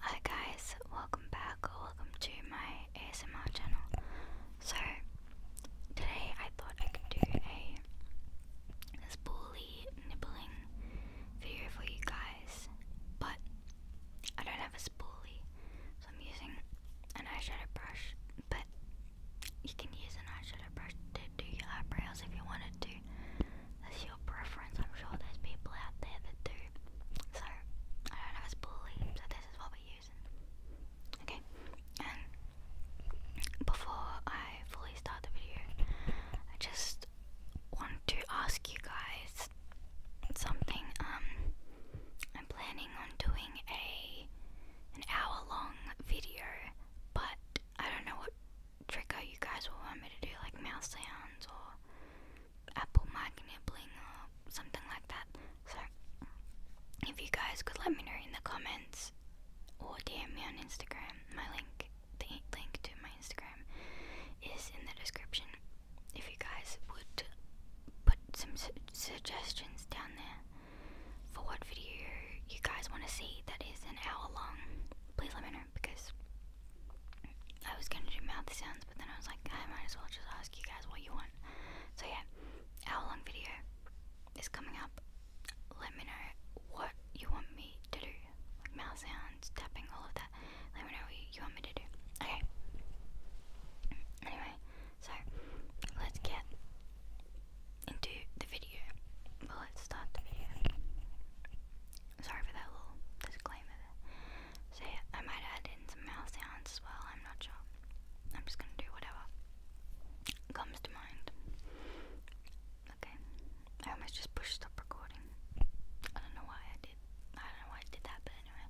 Hi guys, welcome back or welcome to my ASMR channel. So today I thought I could do a spoolie nibbling video for you guys, but I don't have a spoolie, so I'm using an eyeshadow brush, but you can use an eyeshadow brush to do your eyebrows if you wanted to that's your preference. I'm sure there's people out there that do. So I don't know if it's bullying, so this is what we're using. Okay, and before I fully start the video, I just want to ask you guys something. Um, I'm planning on doing a an hour long video, but I don't know what Trick? trigger you guys will want me to do, like mouse sounds or apple mic nibbling or something like that. So, if you guys could let me know in the comments or DM me on Instagram, my link, the link to my Instagram is in the description. If you guys would put some suggestions down there for what video you guys want to see that is an hour long, please let me know because I was gonna do mouth sounds, but then I was like, I might as well just ask you guys what you want. So yeah, how long video is coming up. Let me know what you want me to do, like mouth sounds, tapping, all of that. Let me know you want me to do. Okay. Anyway, so let's get into the video. Well, let's start the video. Sorry for that little disclaimer there. I might add in some mouth sounds as well, I'm not sure. I'm just gonna do whatever comes to mind. Okay. I almost just pushed stop recording. I don't know why I did. I don't know why I did that, but anyway.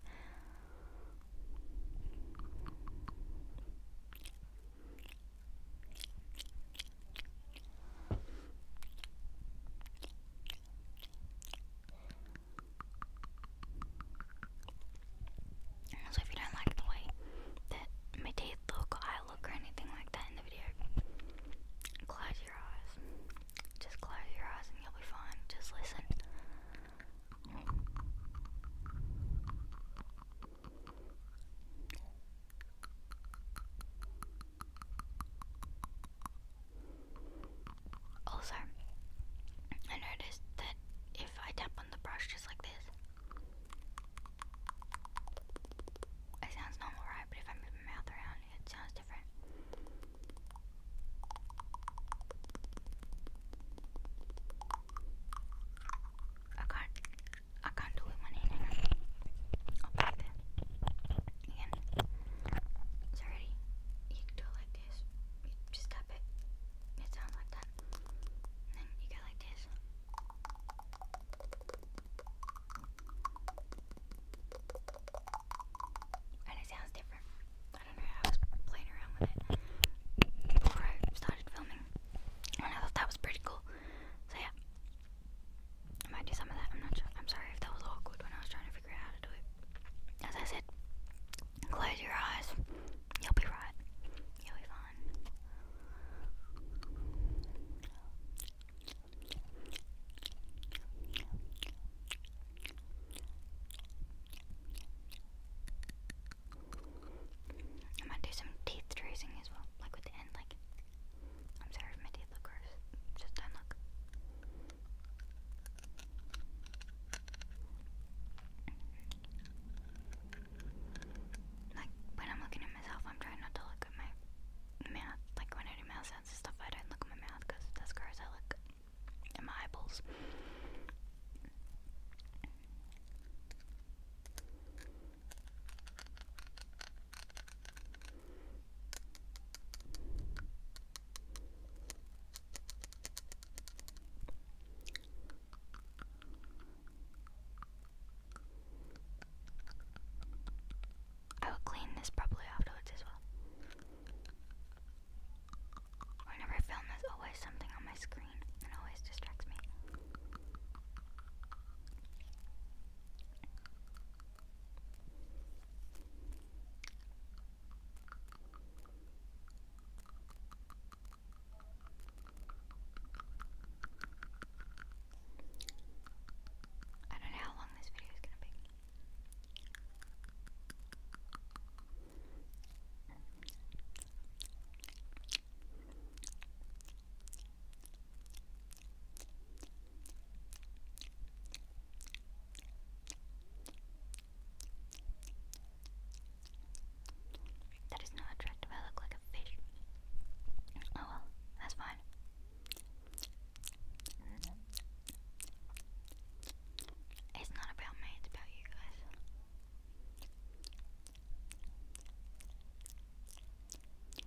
So if you don't like the way that my teeth look I look or anything like that in the video, close your eyes. Just close your eyes and you'll be fine. Just listen. Also, I noticed that if I tap on the brush just like this, it sounds normal, right? But if I move my mouth around, it sounds different. I I can't do it, my hand. I'll Again. It's You do it like this. You just tap it. It sounds like that. then you go like this. And it sounds different. I don't know, I was playing around with it before I started filming. And I thought that was pretty cool. So yeah, I might do some of that. I'm not sure. I'm sorry if that was awkward when I was trying to figure out how to do it. As I said, close your eyes. You'll be right. You'll be fine. I might do some teeth tracing as well, like with the end, like I'm sorry if my teeth look gross. Just don't look. Like when I'm looking at myself, I'm trying not to look at my mouth. Like when I do mouth sounds and stuff, I don't look at my mouth because that's gross. I look at my eyeballs. I will clean this probably afterwards as well. Whenever I film, there's always something on my screen and always distracts me. I don't know how long this video is going to be. That is not attractive. I look like a fish. Oh well, that's fine. It's not about me, it's about you guys.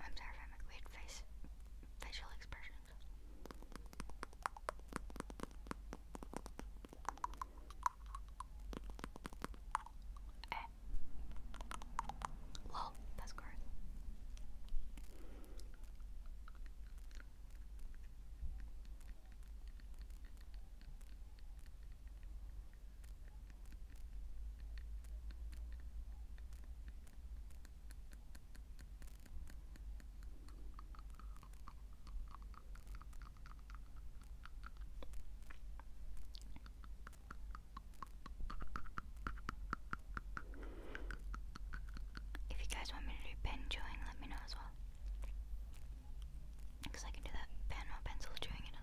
I'm sorry if I make weird face facial expressions. And it. Lol, that's gross. If you guys want me to do pen chewing, let me know as well. Because I can do that pen or pencil chewing, it does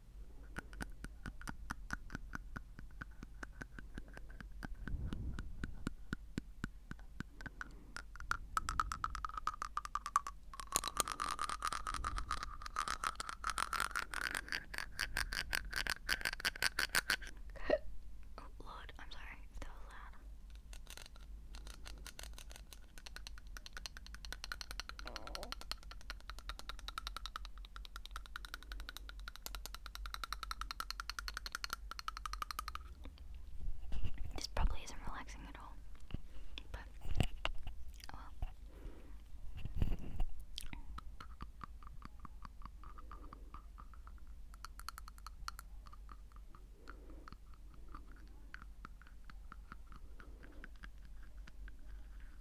oh Lord, I'm sorry if that was loud. Oh. This probably isn't relaxing at all, but oh well.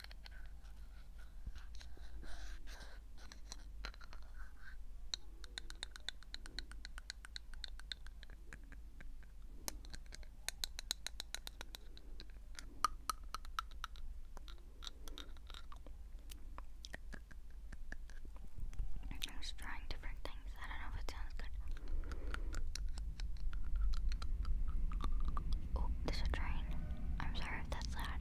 I'm just trying different things. I don't know if it sounds good. Oh, there's a train. I'm sorry if that's loud.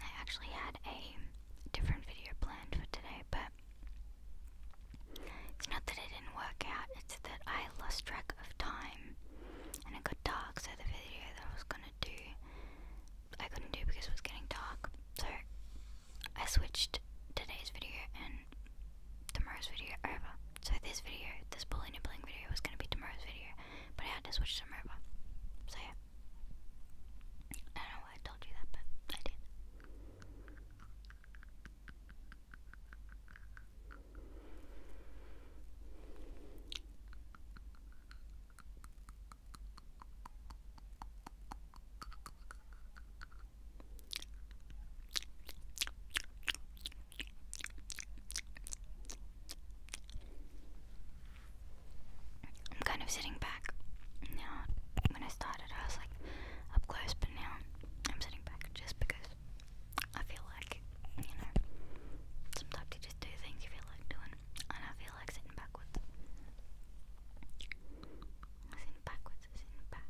I actually had a different video planned for today, but it's not that it didn't work out, it's that I lost track of time and it got dark, so the video that I was gonna do I couldn't do because it was getting dark. So I switched today's video and tomorrow's video over. So this video, this bullying and bling video was gonna be tomorrow's video, but I had to switch to mobile. So yeah. I don't know why I told you that, but I did. I'm kind of sitting back now. When I started, I was like up close, but now I'm sitting back just because I feel like, you know, sometimes you just do things you feel like doing, and I feel like sitting backwards. Sitting backwards, sitting back.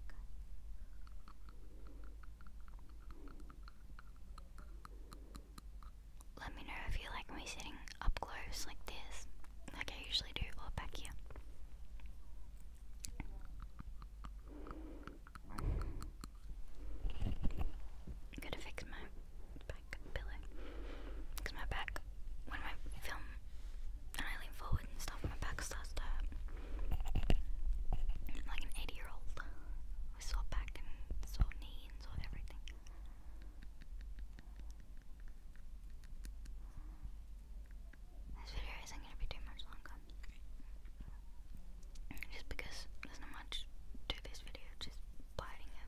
Let me know if you like me sitting up close like this, like I usually do, or back here. gonna fix my pillow. Because my back, when I film and I lean forward and stuff, my back starts to I'm like an 80 year old. I saw back and saw knee saw everything. This video isn't going to be too much longer. Just because there's not much to this video, just biting a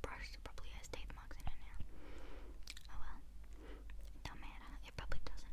brush that probably has teeth marks in it now. Oh well. It do It probably doesn't.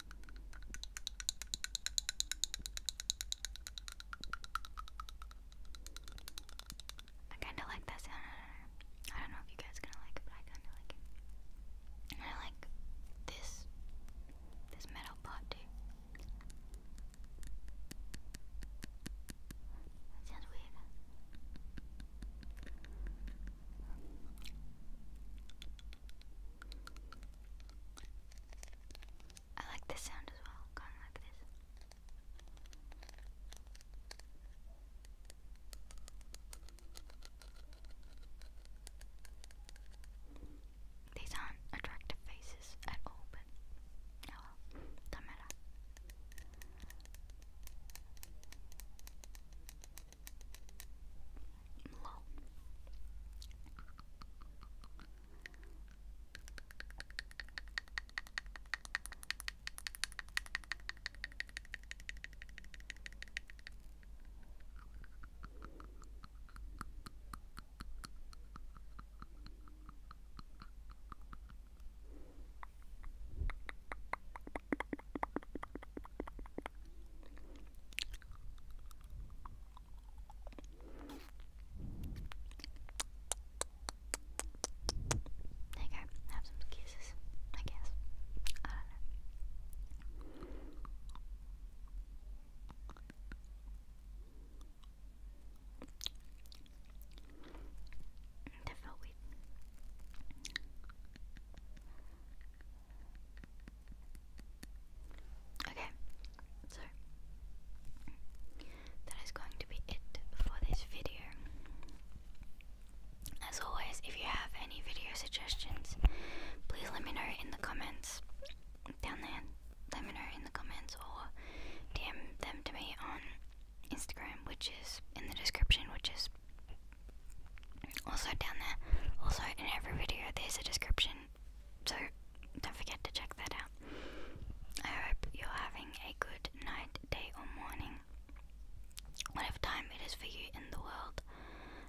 I kinda like that sound. I don't know if you guys gonna like it, but I kinda like it. I like this this metal pot too. That weird. I like this sound as well, kind like this. These aren't attractive faces at all, but oh well, don't lol. There you go. Have some kisses, I guess. I don't know. That felt weird. Okay, so that is going to be it for this video. As always, if you have any video suggestions, please let me know in the comments down there. Let me know in the comments or DM them to me on Instagram, which is in the description, which is also down there. Also, in every video, there's a description so don't forget to check that out. I hope you're having a good night, day, or morning, whatever time it is for you in the world.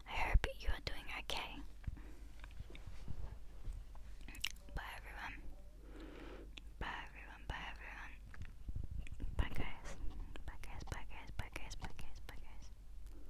I hope you are doing okay. Bye, everyone. Bye, everyone. Bye, everyone. Bye, guys. Bye, guys. Bye, guys. Bye, guys. Bye, guys. Bye, guys.